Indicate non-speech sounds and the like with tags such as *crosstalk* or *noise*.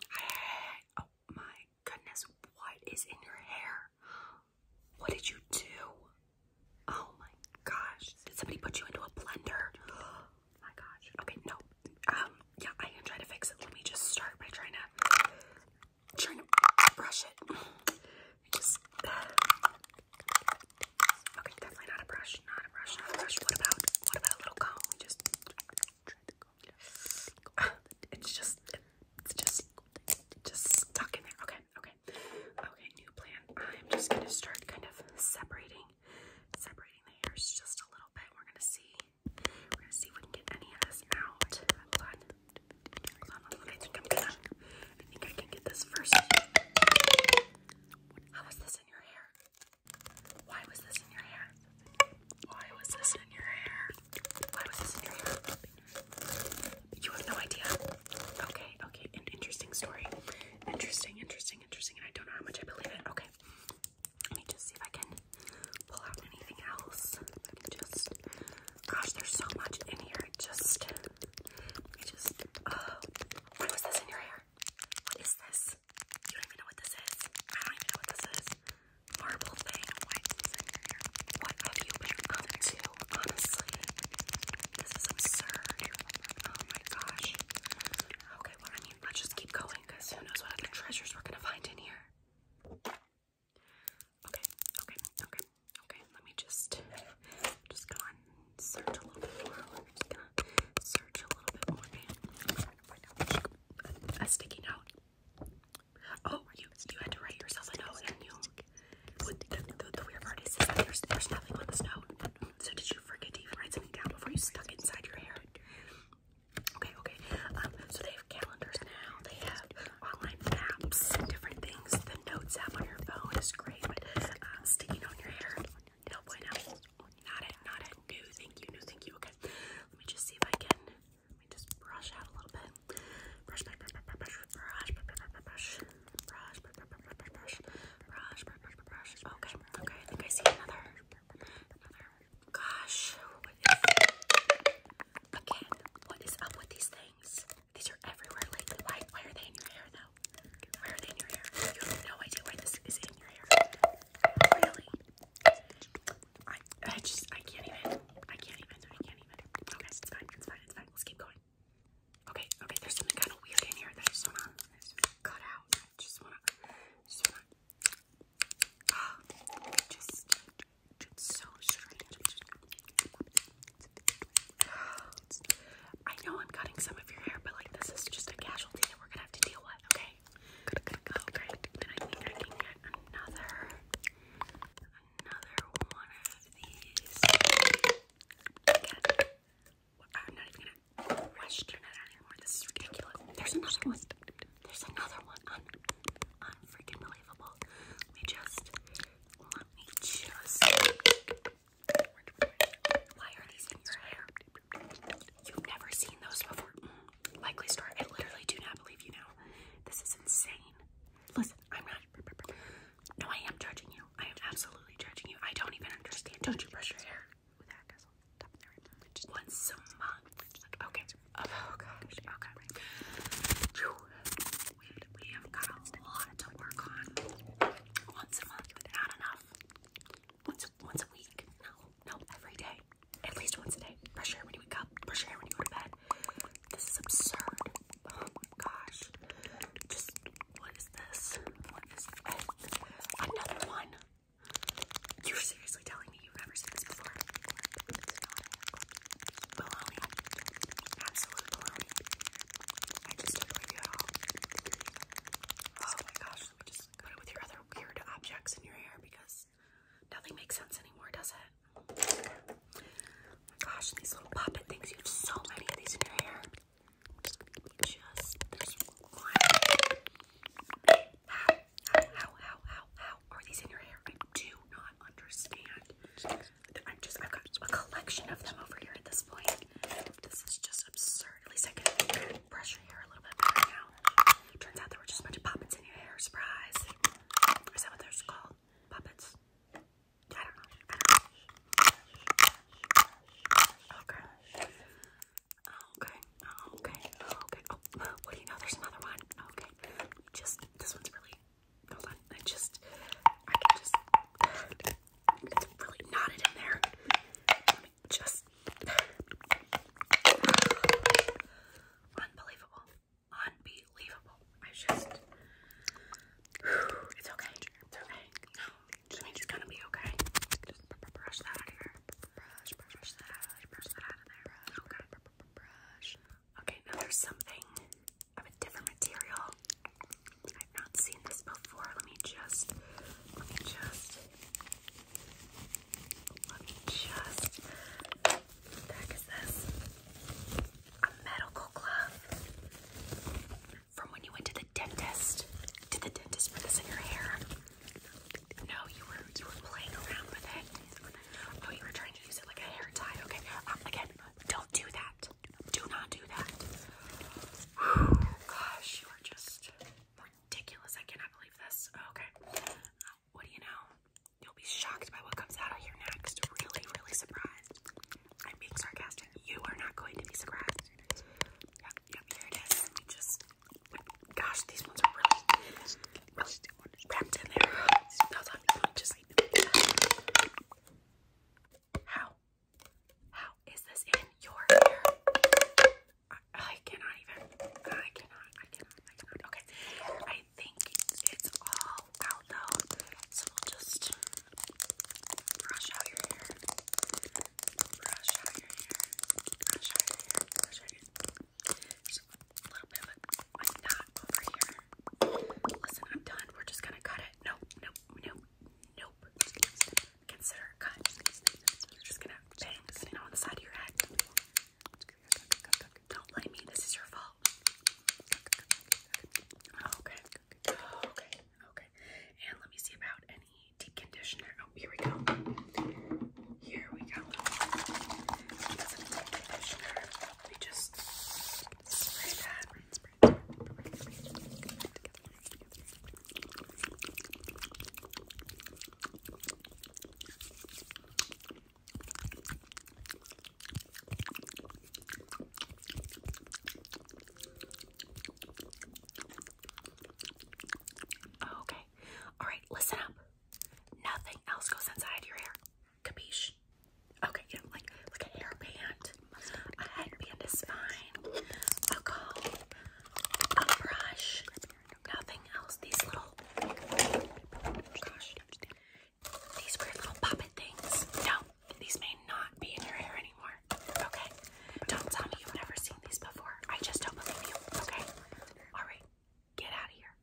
*gasps* Oh my goodness, what is in your hair? What did you do? Oh my gosh, did somebody put you into a blender? Oh *gasps* my gosh, okay, no. Um, yeah, I am trying to fix it. Let me just start by trying to, trying to brush it. *sighs* Just, uh, *sighs* okay, definitely not a brush, not a brush, not a brush. What about, what about a little comb? We just, it's just it's just it's just stuck in there. Okay, okay. Okay, new plan. I'm just gonna start kind of separating separating the hairs just a little bit. We're gonna see. We're gonna see if we can get any of this out. Hold on. Hold on, I am gonna I think I can get this first. How is this in your hair? Why was this in your hair? Why was this in your hair? Why was this in your hair? You have no idea. Okay, okay. An interesting story. Interesting, interesting, interesting. And I don't know how much I believe it. Okay. Let me just see if I can pull out anything else. just. Gosh, there's so much in here. Just. just. Uh, why was this in your hair? What is this? You don't even know what this is. I don't even know what this is. Marble thing. What have you been up to? Honestly, this is absurd. Oh my gosh. Okay, well, I mean, let's just keep going because who knows what other treasures we're gonna find in here. Okay, okay, okay, okay. Let me just just go on search a little bit more. just gonna search a little bit more a sticky note. Oh, you you had to write yourself a note, and you. The, the, weird part is there's, there's nothing on this note. So did you forget to even write something down before you stuck it inside your hair? Okay, okay. Um, so they have calendars now. They have online maps, different things. The notes app on your phone is great, but uh, sticking on your hair, no bueno. Not it, not it. No, thank you, no, thank you. Okay, let me just see if I can. Let me just brush out a little bit. Brush, brush, brush, brush, brush, brush, brush, brush, brush, brush, brush. Okay, okay. I think I see another. Another. Gosh, Again, what is up with these things? These are everywhere lately. Why, why are they in your hair though? Where are they in your hair? You have no idea why this is in your hair. Really? I, I just, I can't even. I can't even. I can't even. Okay, it's fine. It's fine. It's fine. Let's keep going. Okay, okay. There's something kind of weird in here that just wanna cut out. just wanna, just wanna. just, so strange. I know I'm cutting some of your hair, but like this is just a casualty that we're gonna have to deal with, okay? Okay, oh, another one of these. I'm not even gonna question it anymore. This is ridiculous. There's another one. There's another one. Un unfreaking believable. Let me just let me just why are these in your hair? You've never seen those before. Mm. likely store. I literally do not believe you now. This is insane. Listen, I'm not. No, I am judging you. I am absolutely judging you. I don't even understand. Don't you brush your hair? once a month. Okay. Oh, Okay. We, have got a lot to work on. Once a month, but enough. Once once a week. No, no, every day. At least once a day. Brush your hair when you wake up. Brush your hair when you go to bed. This is absurd. Oh gosh. Just what is this? What is Another one. You're seriously telling me you've never seen this before? Baloney. Absolute baloney. I just don't idea how. Oh my gosh, let me just with your other weird objects in your hair because nothing makes sense anymore, does it? Oh my gosh, these little puppet things, you have so many of these in your hair. Just, one. How, how, how, how, how, how are these in your hair? I do not understand. I'm just, I've got a collection of them over here at this point. This is just absurd. At least I can brush your hair a little bit better now. Turns out there were just a bunch of puppets in your hair. Surprise. Is that what they're called? Puppets? I don't know. Okay. Okay. Okay. Okay. Oh, what do you know? There's another one. Okay. Just, this one's really Hold on, I just, I can just, it's really knotted in there. Let me just, unbelievable, unbelievable. I just, it's okay, it's okay. No, I mean, it's gonna be okay. Just brush that out of here. Brush, brush, brush that out, brush that out of there. Okay. Okay, now there's something of a different material. I've not seen this before. Let me just, let me just, let me just. What the heck is this? A medical glove from when you went to the dentist. Did the dentist put this in your hair? No, you were you were playing around with it. Oh, you were trying to use it like a hair tie. Okay, um, again, don't do that. Do not do that. gosh, you are just ridiculous. I cannot believe this. Okay. What do you know? You'll be shocked by what comes out of here next. Really, really surprised. I'm being sarcastic. You are not going to be surprised. Yep, yep, here it is. just, gosh, these ones are really, really wrapped in there. Hold on, just. How? How is this in your ear? I, cannot even. I cannot. I cannot. Okay. I think it's all out though, so we'll just brush out your hair. Brush out your hair. Brush out your hair. Just a little bit like that over here. Listen, I'm done. We're just gonna cut it. Nope, nope, nope, nope. Consider it cut. You're just gonna bang this on the side of your head. Don't blame me. This is your fault. Okay, okay, okay. And let me see about any deep conditioner. Oh, here we go. Here we go. That's a deep conditioner. Let me just Okay. All right, listen up. Nothing else goes inside your hair. Capiche? Okay, yeah, like like a hairband. A headband is fine. A comb, a brush, nothing else. These little These weird little puppet things. No, these may not be in your hair anymore. Okay. Don't tell me you've never seen these before. I just don't believe you. Okay. Alright. Get out of here.